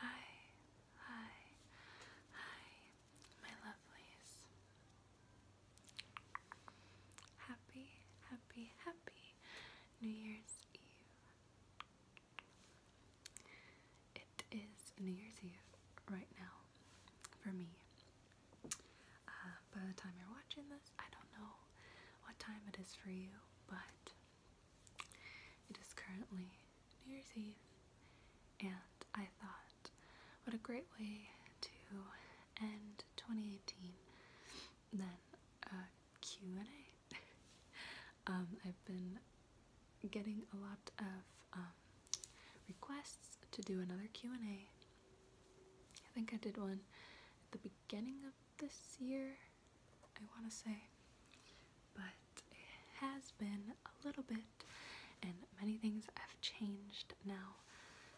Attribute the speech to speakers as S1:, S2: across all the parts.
S1: Hi, hi, hi, my lovelies. Happy, happy, happy New Year's Eve. It is New Year's Eve right now for me. Uh, by the time you're watching this, I don't know what time it is for you, but it is currently New Year's Eve, and I thought, what a great way to end 2018 Then Q&A. Um, I've been getting a lot of um, requests to do another Q&A. I think I did one at the beginning of this year, I want to say, but it has been a little bit and many things have changed now,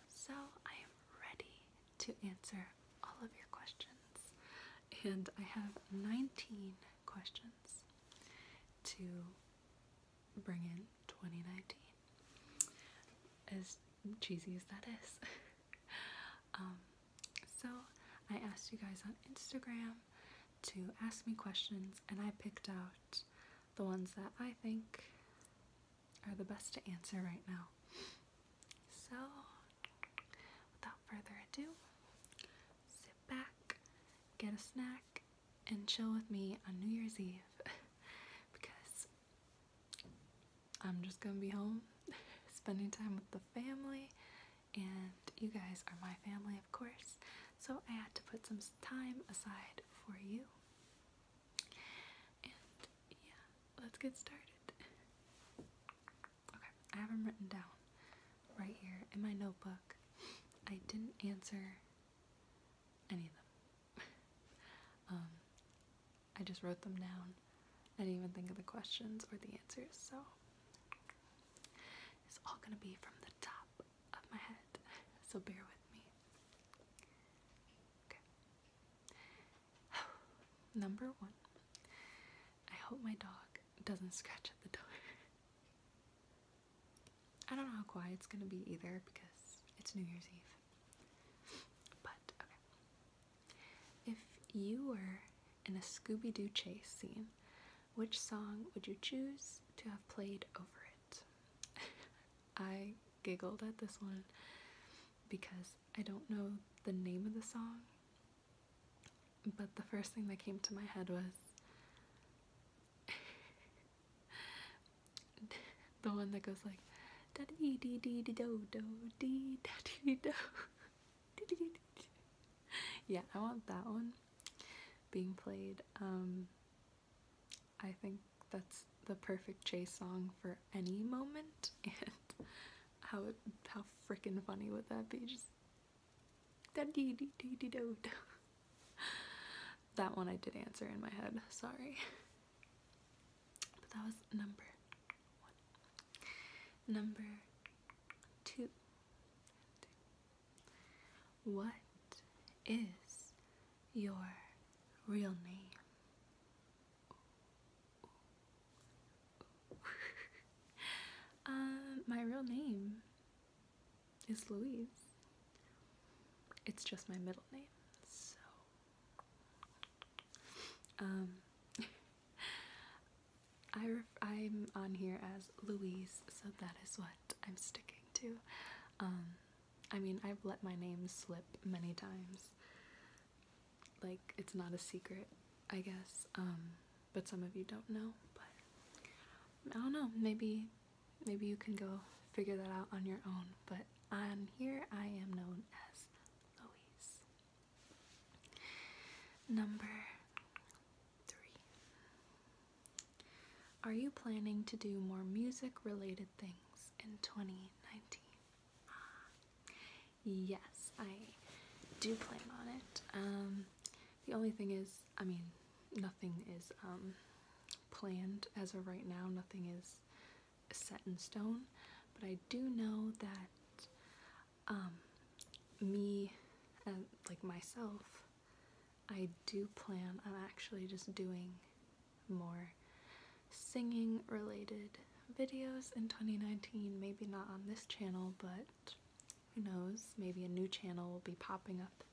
S1: so I am ready to answer all of your questions. And I have 19 questions to bring in 2019. As cheesy as that is. Um, so I asked you guys on Instagram to ask me questions and I picked out the ones that I think are the best to answer right now. So without further ado, sit back, get a snack, and chill with me on New Year's Eve because I'm just gonna be home spending time with the family and you guys are my family of course so I had to put some time aside for you and yeah let's get started okay I have them written down right here in my notebook I didn't answer any of them Um, I just wrote them down. I didn't even think of the questions or the answers, so it's all gonna be from the top of my head, so bear with me. Okay. Number one. I hope my dog doesn't scratch at the door. I don't know how quiet it's gonna be either because it's New Year's Eve. But If you were in a Scooby Doo chase scene, which song would you choose to have played over it? I giggled at this one because I don't know the name of the song, but the first thing that came to my head was the one that goes like da dee dee dee dee do do dee da dee do yeah I want that one being played um I think that's the perfect chase song for any moment and how it, how freaking funny would that be just da dee dee dee dee do do that one I did answer in my head, sorry. But that was number one. Number two. What is your real name? um, my real name is Louise. It's just my middle name, so. Um, I I'm on here as Louise, so that is what I'm sticking to. Um, I mean, I've let my name slip many times. Like, it's not a secret, I guess. Um, but some of you don't know, but I don't know, maybe Maybe you can go figure that out on your own, but on here I am known as Louise. Number three. Are you planning to do more music related things in 2019? Ah, yes, I do plan on it. Um, the only thing is, I mean, nothing is um, planned as of right now. Nothing is set in stone, but I do know that um, me and like myself, I do plan on actually just doing more singing related videos in 2019. Maybe not on this channel, but who knows, maybe a new channel will be popping up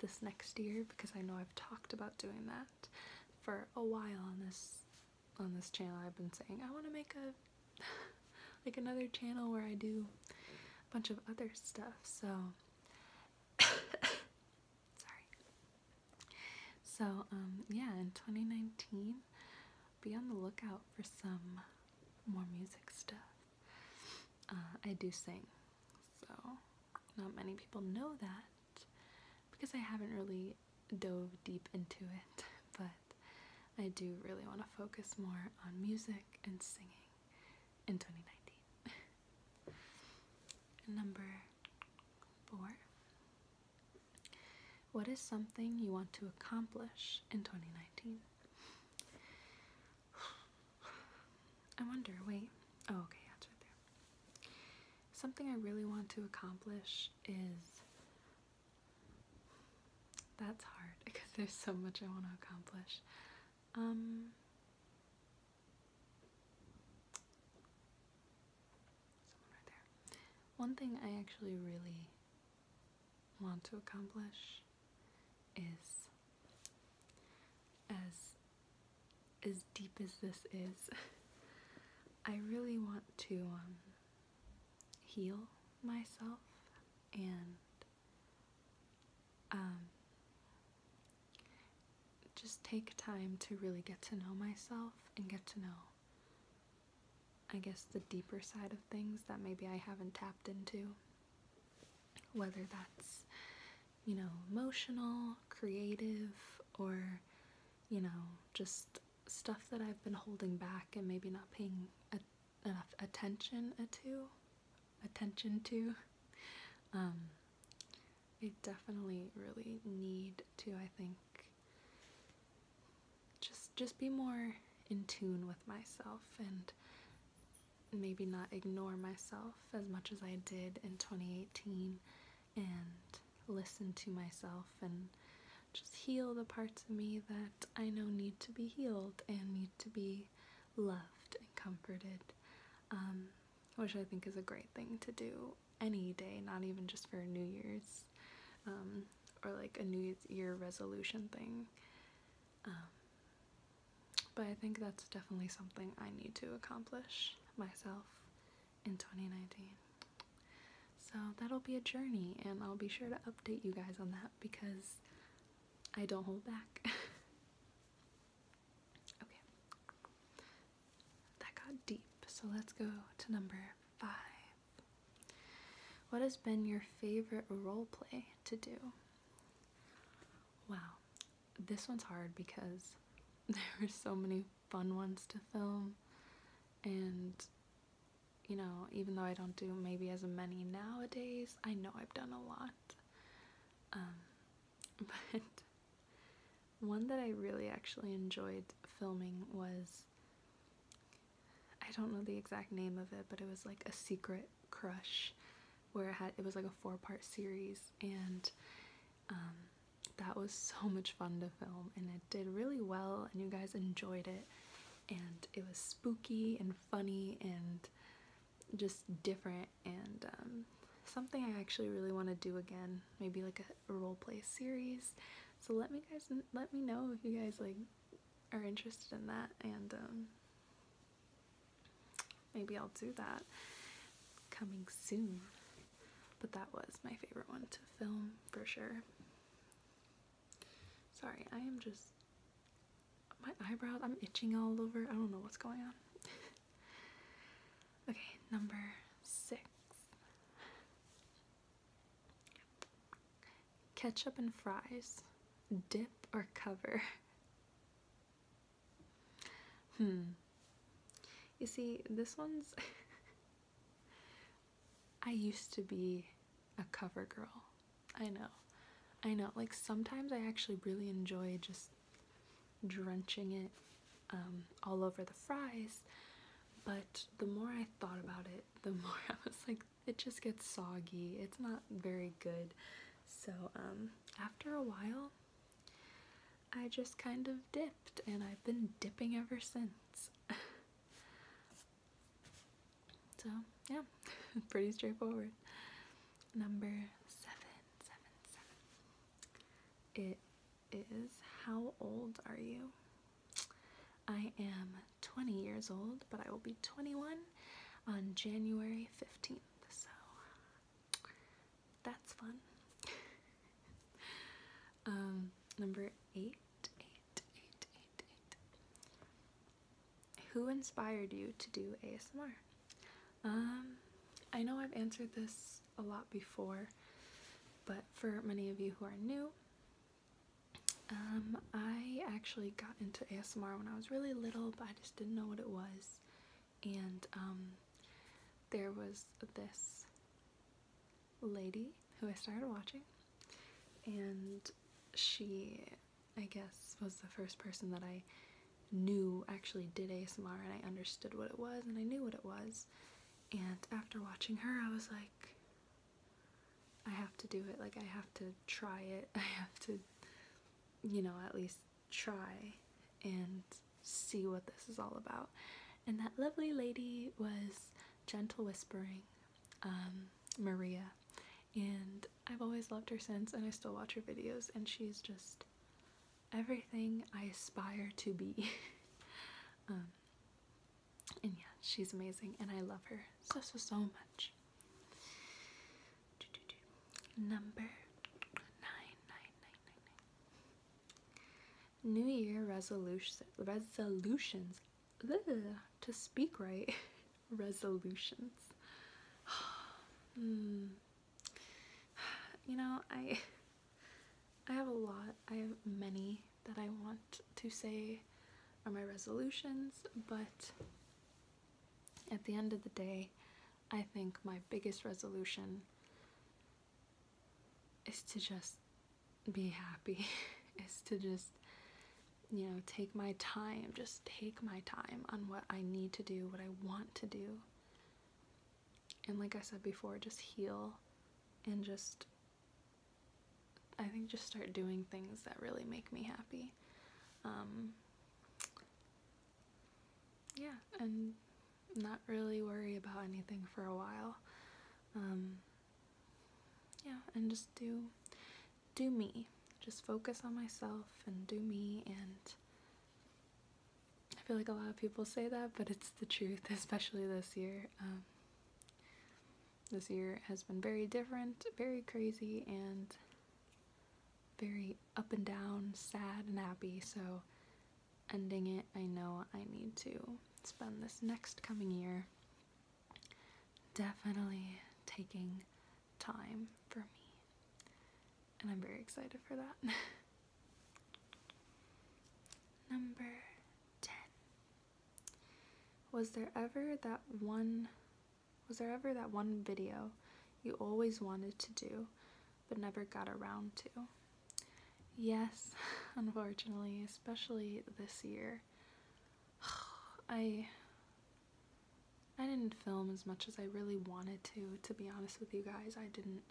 S1: this next year because I know I've talked about doing that for a while on this on this channel. I've been saying I want to make a like another channel where I do a bunch of other stuff. So sorry. So um, yeah, in 2019 be on the lookout for some more music stuff. Uh, I do sing, so, not many people know that because I haven't really dove deep into it, but I do really want to focus more on music and singing in 2019. Number four. What is something you want to accomplish in 2019? I wonder, wait. Oh, okay, that's right there. Something I really want to accomplish is. That's hard because there's so much I want to accomplish. Um. One thing I actually really want to accomplish is as as deep as this is, I really want to um, heal myself and um, just take time to really get to know myself and get to know, I guess, the deeper side of things that maybe I haven't tapped into. Whether that's you know, emotional, creative, or, you know, just stuff that I've been holding back and maybe not paying enough attention to. Attention to. Um, I definitely really need to, I think, just just be more in tune with myself and maybe not ignore myself as much as I did in 2018 and listen to myself and just heal the parts of me that I know need to be healed and need to be loved and comforted, um, which I think is a great thing to do any day, not even just for New Year's um, or like a New Year's Year resolution thing. Um, but I think that's definitely something I need to accomplish myself in 2019. So that'll be a journey, and I'll be sure to update you guys on that because I don't hold back. okay, that got deep, so let's go to number five. What has been your favorite role play to do? Wow, this one's hard because there were so many fun ones to film and you know even though I don't do maybe as many nowadays I know I've done a lot um, but one that I really actually enjoyed filming was I don't know the exact name of it but it was like a secret crush where it had it was like a four part series and um, that was so much fun to film and it did really well and you guys enjoyed it and it was spooky and funny and just different and um, something I actually really want to do again maybe like a role play series so let me guys let me know if you guys like are interested in that and um, Maybe I'll do that coming soon. But that was my favorite one to film for sure. Sorry, I am just. My eyebrows, I'm itching all over. I don't know what's going on. okay, number six ketchup and fries. Dip or cover? Hmm. You see, this one's. I used to be a cover girl. I know. I know. Like sometimes I actually really enjoy just drenching it um, all over the fries, but the more I thought about it, the more I was like, it just gets soggy. It's not very good. So um, after a while, I just kind of dipped, and I've been dipping ever since. so yeah, pretty straightforward. Number seven, seven, seven. It is how old are you? I am 20 years old, but I will be 21 on January 15th so that's fun. Um, number eight. Who inspired you to do ASMR? Um, I know I've answered this a lot before, but for many of you who are new, um, I actually got into ASMR when I was really little, but I just didn't know what it was and um, there was this lady who I started watching and she I guess was the first person that I knew actually did ASMR and I understood what it was and I knew what it was and after watching her I was like I have to do it like I have to try it I have to you know, at least try and see what this is all about. And that lovely lady was Gentle Whispering, um, Maria. And I've always loved her since, and I still watch her videos, and she's just everything I aspire to be. um, and yeah, she's amazing, and I love her so, so, so much. Number nine, nine, nine, nine, nine. New Year resolutions. resolutions. to speak right, resolutions. Hmm. You know, I I have a lot. I have many that I want to say are my resolutions, but at the end of the day, I think my biggest resolution is to just be happy, is to just, you know, take my time, just take my time on what I need to do, what I want to do. And like I said before, just heal and just, I think just start doing things that really make me happy. Um, yeah, and not really worry about anything for a while. Um, yeah, and just do do me. Just focus on myself and do me and I feel like a lot of people say that, but it's the truth, especially this year. Um, this year has been very different, very crazy, and very up and down, sad and happy, so ending it, I know I need to spend this next coming year definitely taking time for me. And I'm very excited for that. Number 10. Was there ever that one was there ever that one video you always wanted to do but never got around to? Yes, unfortunately, especially this year. I I didn't film as much as I really wanted to, to be honest with you guys. I didn't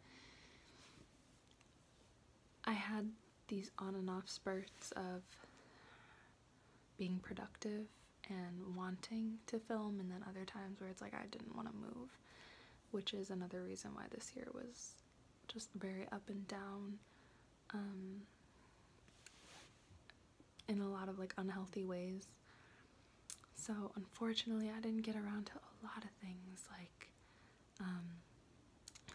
S1: I had these on and off spurts of being productive and wanting to film and then other times where it's like I didn't want to move which is another reason why this year was just very up and down um, in a lot of like unhealthy ways so unfortunately I didn't get around to a lot of things like um,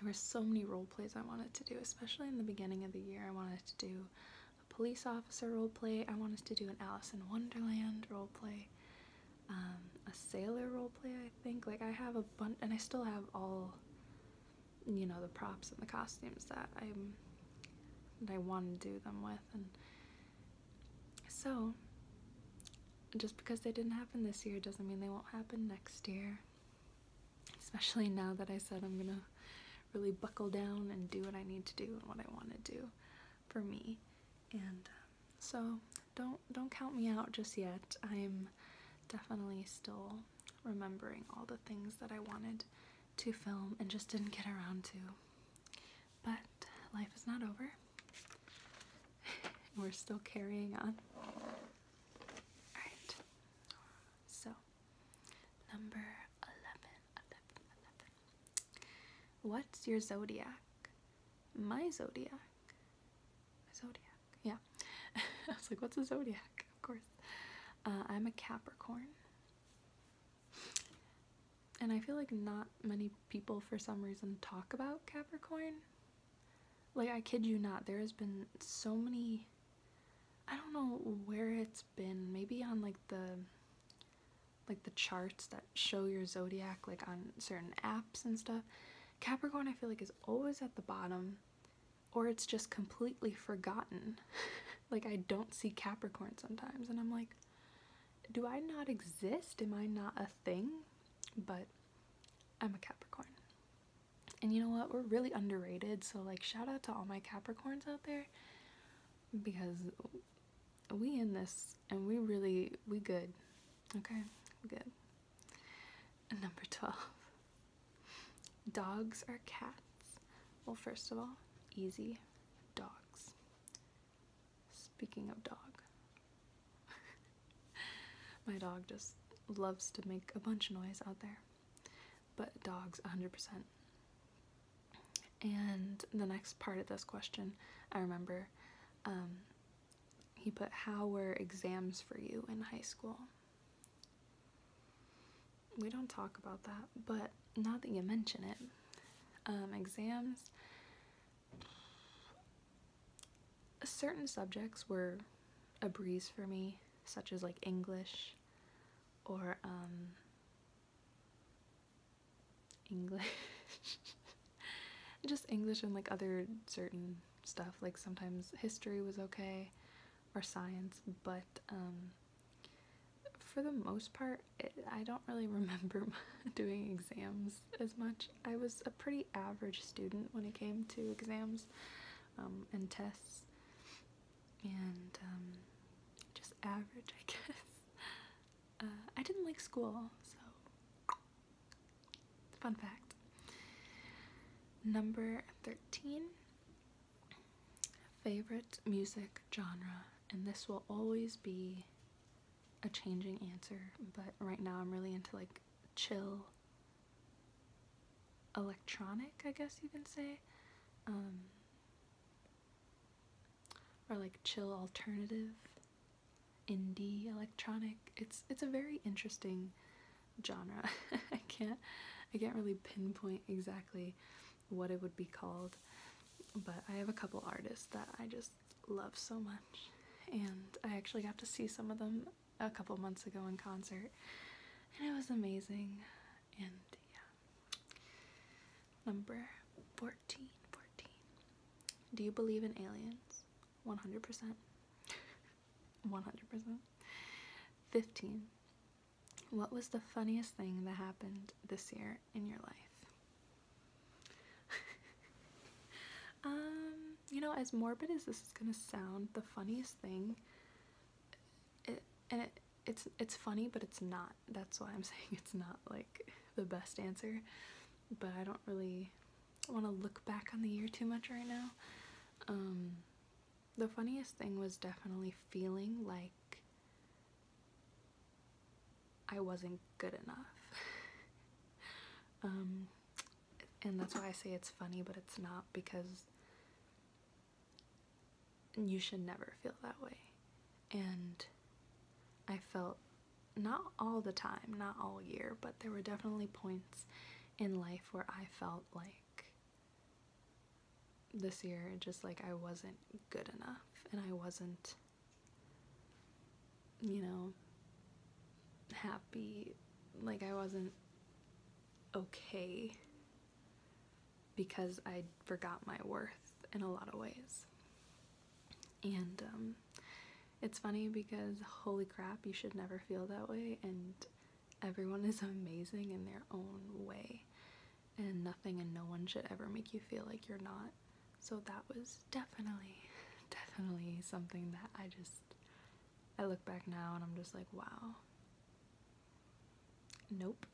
S1: there were so many role plays I wanted to do especially in the beginning of the year I wanted to do a police officer role play. I want us to do an Alice in Wonderland role play, um, a sailor role play. I think like I have a bunch, and I still have all, you know, the props and the costumes that I'm that I want to do them with, and so just because they didn't happen this year doesn't mean they won't happen next year. Especially now that I said I'm gonna really buckle down and do what I need to do and what I want to do for me. And um, so don't don't count me out just yet. I'm definitely still remembering all the things that I wanted to film and just didn't get around to. But life is not over. We're still carrying on. Alright, so Number 11, What's your zodiac? My zodiac. My zodiac, yeah. I was like, what's a zodiac? Of course. Uh, I'm a Capricorn. And I feel like not many people, for some reason, talk about Capricorn. Like, I kid you not, there has been so many I don't know where it's been, maybe on like the like the charts that show your zodiac like on certain apps and stuff. Capricorn I feel like is always at the bottom or it's just completely forgotten. like I don't see Capricorn sometimes and I'm like do I not exist? Am I not a thing? But I'm a Capricorn. And you know what? We're really underrated. So like shout out to all my Capricorns out there because we in this and we really we good okay good number 12 dogs or cats well first of all easy dogs speaking of dog my dog just loves to make a bunch of noise out there but dogs 100%. And the next part of this question, I remember, um, he put, How were exams for you in high school? We don't talk about that, but now that you mention it, um, exams, certain subjects were a breeze for me, such as like English or um, English. Just English and like other certain stuff. Like sometimes history was okay or science, but um, for the most part, I don't really remember doing exams as much. I was a pretty average student when it came to exams um, and tests and um, just average, I guess. Uh, I didn't like school, so fun fact. Number 13 favorite music genre, and this will always be a changing answer, but right now I'm really into like chill electronic, I guess you can say. Um, or like chill alternative indie electronic it's it's a very interesting genre i can't i can't really pinpoint exactly what it would be called but i have a couple artists that i just love so much and i actually got to see some of them a couple months ago in concert and it was amazing and yeah Number 14. Do you believe in aliens? 100%. 100%. 15. What was the funniest thing that happened this year in your life? um, you know, as morbid as this is going to sound, the funniest thing, it, it's it's funny but it's not that's why i'm saying it's not like the best answer but i don't really want to look back on the year too much right now um the funniest thing was definitely feeling like i wasn't good enough um and that's why i say it's funny but it's not because you should never feel that way. And I felt not all the time, not all year, but there were definitely points in life where I felt like this year, just like I wasn't good enough and I wasn't, you know, happy, like I wasn't okay because I forgot my worth in a lot of ways. And um, it's funny because holy crap, you should never feel that way, and everyone is amazing in their own way, and nothing and no one should ever make you feel like you're not. So that was definitely, definitely something that I just, I look back now and I'm just like, wow, Nope.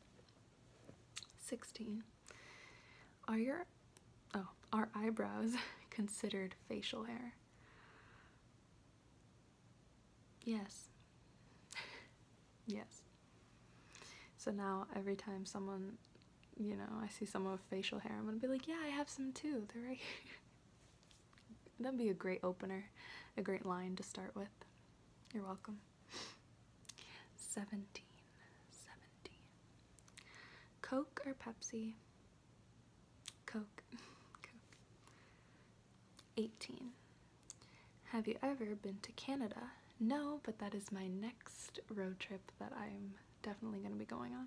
S1: 16. Are your oh, are eyebrows considered facial hair? Yes. yes. So now every time someone, you know, I see someone with facial hair, I'm gonna be like, yeah, I have some too. They're right That'd be a great opener, a great line to start with. You're welcome. 17. 17. Coke or Pepsi? Coke. Coke. 18. Have you ever been to Canada? No, but that is my next road trip that I'm definitely going to be going on.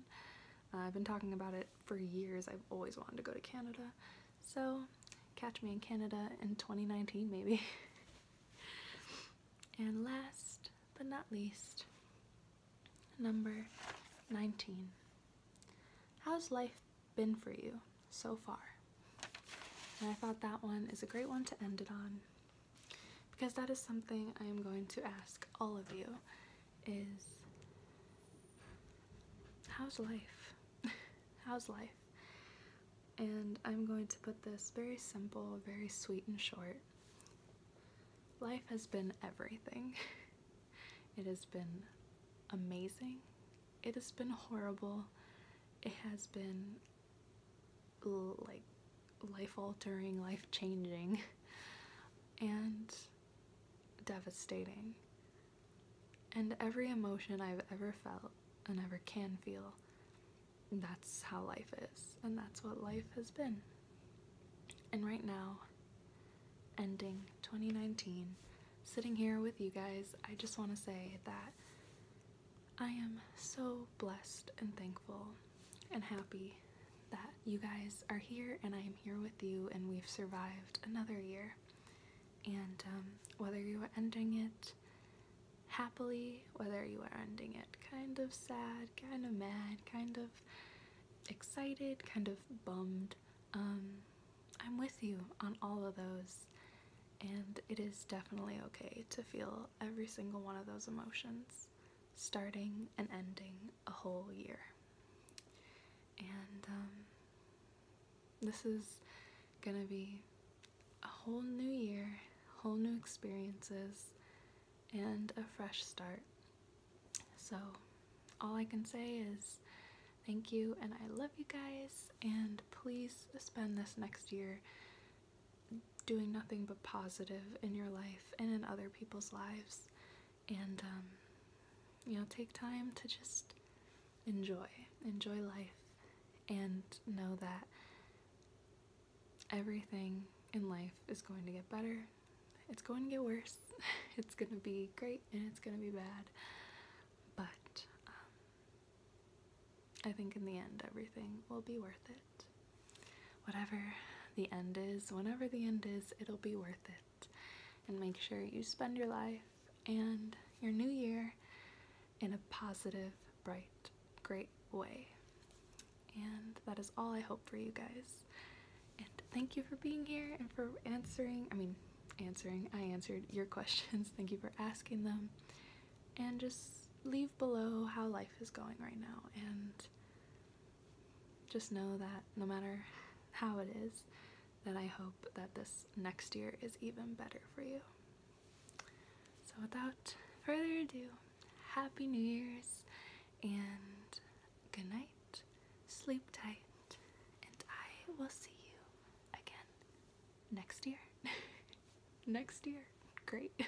S1: Uh, I've been talking about it for years. I've always wanted to go to Canada. So catch me in Canada in 2019 maybe. and last but not least, number 19. How's life been for you so far? And I thought that one is a great one to end it on because that is something I am going to ask all of you is how's life? how's life? And I'm going to put this very simple, very sweet and short. Life has been everything. it has been amazing. It has been horrible. It has been like life altering, life changing, and devastating and every emotion I've ever felt and ever can feel. That's how life is, and that's what life has been. And right now, ending 2019, sitting here with you guys, I just want to say that I am so blessed and thankful and happy that you guys are here and I am here with you and we've survived another year and um, whether you are ending it happily, whether you are ending it kind of sad, kind of mad, kind of excited, kind of bummed, um, I'm with you on all of those. And it is definitely okay to feel every single one of those emotions, starting and ending a whole year. And um, this is gonna be a whole new year, whole new experiences, and a fresh start. So, all I can say is thank you and I love you guys, and please spend this next year doing nothing but positive in your life and in other people's lives. And, um, you know, take time to just enjoy. Enjoy life and know that everything in life is going to get better. It's going to get worse. It's going to be great and it's going to be bad. But um, I think in the end, everything will be worth it. Whatever the end is, whenever the end is, it'll be worth it and make sure you spend your life and your new year in a positive, bright, great way. And that is all I hope for you guys. And thank you for being here and for answering, I mean, answering, I answered your questions. thank you for asking them. And just leave below how life is going right now. And just know that no matter how it is, that I hope that this next year is even better for you. So without further ado, Happy New Year's and good night, sleep tight, and I will see you again next year. next year. Great.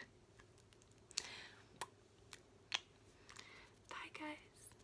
S1: Bye guys.